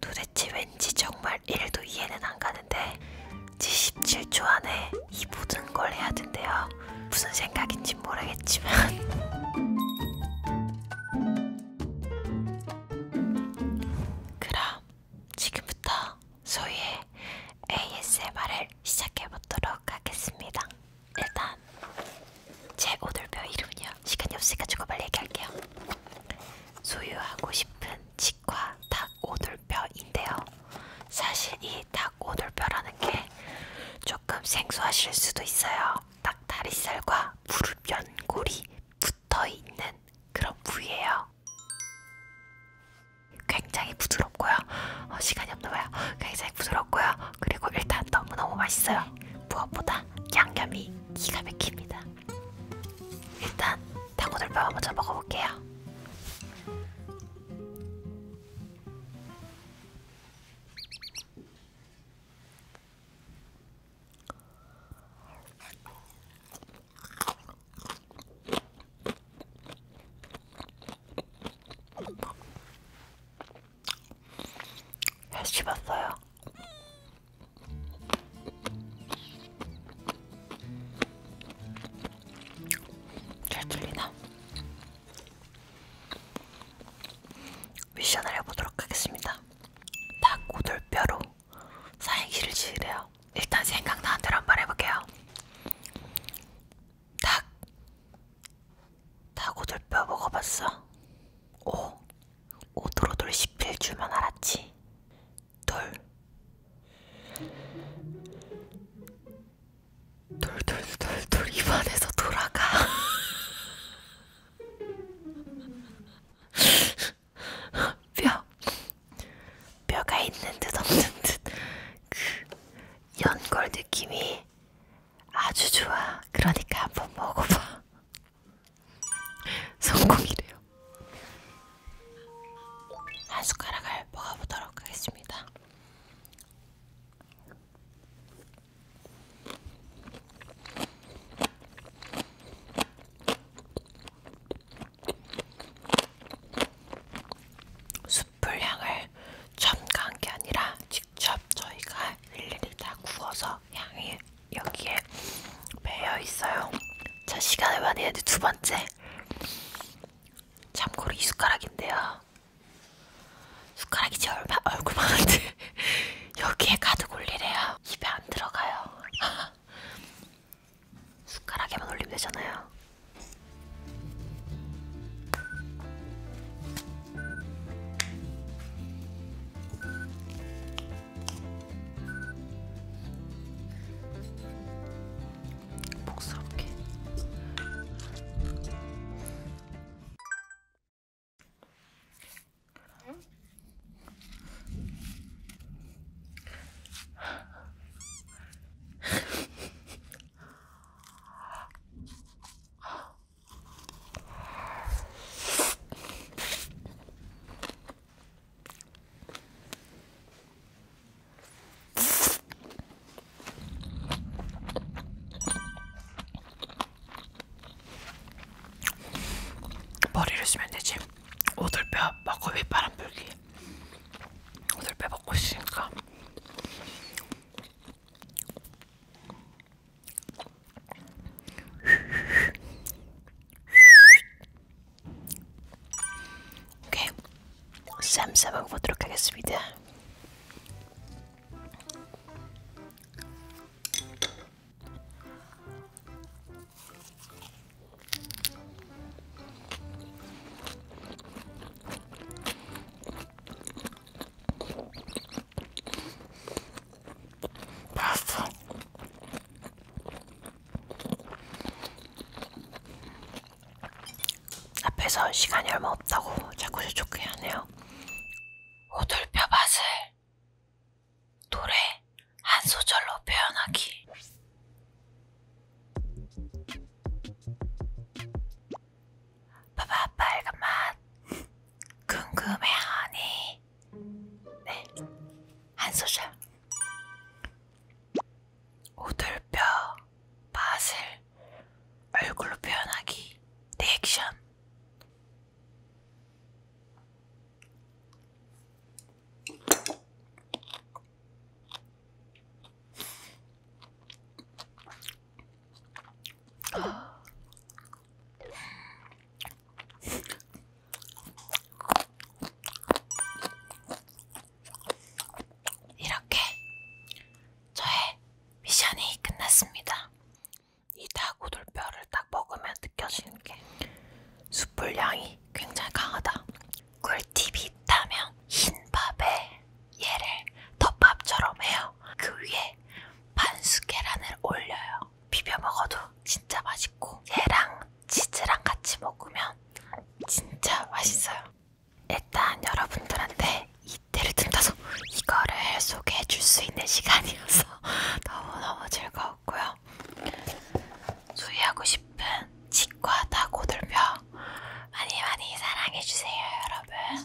도대체 왠지 정말 1도 이해는 안 가는데 77초 안에 이 모든 걸 해야 된대요. 무슨 생각인지 모르겠지만 그럼 지금부터 소희의 ASMR을 시작해 보도록 하겠습니다. 일단 제 오늘표 이름은요. 시간이 없으니까 빨리 얘기할게요. 소유하고 싶은 치과 닭 오돌뼈인데요. 사실 이닭 오돌뼈라는 게 조금 생소하실 수도 있어요. 닭 다리살과 무릎 연골이 붙어 있는 그런 부위예요. 굉장히 부드럽고요. 어, 시간 많이 없나봐요. 굉장히 부드럽고요. 그리고 일단 너무너무 맛있어요. 무엇보다 양념이 기가 막힙니다. 일단 닭고들뼈 먼저 먹어볼게요. 해씹었어요. 잘 들리나? 미션을 해보도록 하겠습니다. 닭고들뼈로 사행시를 지으래요. 일단 생각나는 대로 한번 해볼게요. 닭 닭오돌뼈 먹어봤어? 오 오돌오돌 11줄만 알았지 돌 돌돌 돌돌 입안에서 돌아가 뼈 뼈가 있는 듯 없는 듯그 연골 느낌이 아주 좋아. 그러니까 한번 먹어봐. 성공이래요. 한 숟가락을 먹어보도록 하겠습니다. 숯불향을 첨가한 게 아니라 직접 저희가 일일이 다 구워서 양이 여기에 배어 있어요. 자 시간을 많이 했는데 두 번째 참고로 이 숟가락인데요. 숟가락이 제 얼마 얼굴만한데 여기에 가득 올리래요. 입에 안 들어가요. 숟가락에만 올리면 되잖아요. 복스럽게 머리를 쓰면 되지. 오돌뼈 먹고 윗바람 불기. 오돌뼈 먹고 있으니까 오케이 쌈싸 먹어보도록 하겠습니다. 봤어. 앞에서 시간이 얼마 없다고 자꾸 재촉해 하네요. 오돌뼈 맛을 노래 한 소절로 표현하기. 봐봐 빨간 맛 궁금해하니 네 한 소절 오돌뼈 맛을 얼굴로 표현하기 리액션 이렇게 저의 미션이 끝났습니다. 이 닭고돌뼈를 딱 먹으면 느껴지는 게 숯불 향이 굉장히 강하다. 꿀팁이 있다면 흰 밥에 얘를 덮밥처럼 해요. 그 위에 위에 반숙 계란을 올려요. 비벼 먹어도 진짜 맛있고 얘랑 치즈랑 같이 먹으면 진짜 맛있어요. 일단 여러분들한테 이때를 틈타서 이거를 소개해 줄 수 있는 시간이어서 너무너무 즐거웠고요. 소유하고 싶은 치과 다 고들며 많이 많이 사랑해주세요 여러분.